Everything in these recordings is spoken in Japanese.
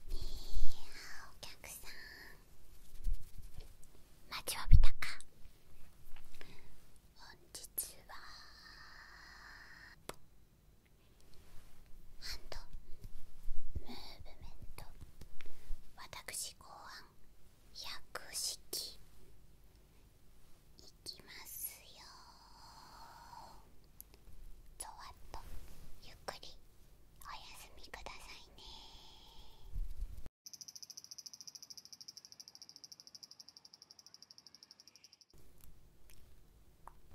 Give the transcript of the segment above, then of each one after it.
お客さん待ちわびたか本日はハンドムーブメント私考案百式いきますよぞわっとゆっくりおやすみくださいねお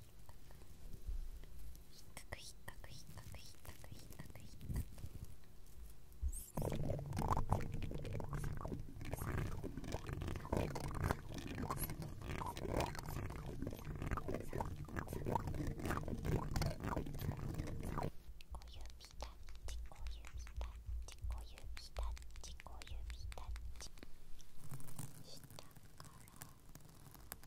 っかく引っかく引っかく引っかく引っかく引っかく。下から上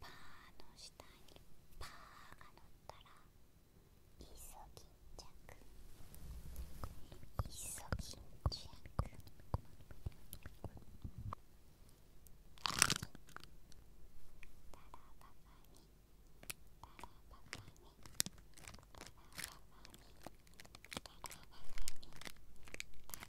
パー」の下に「パー」が乗ったら「いっそンチャク」「イソギンチャク」「タラタラババにタラババにタラババにタラババに」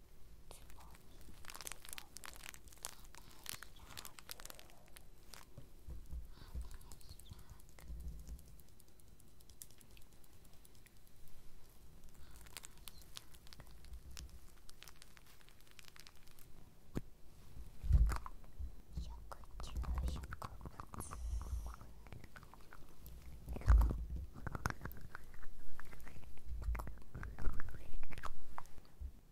植物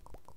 捕まえた。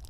こっち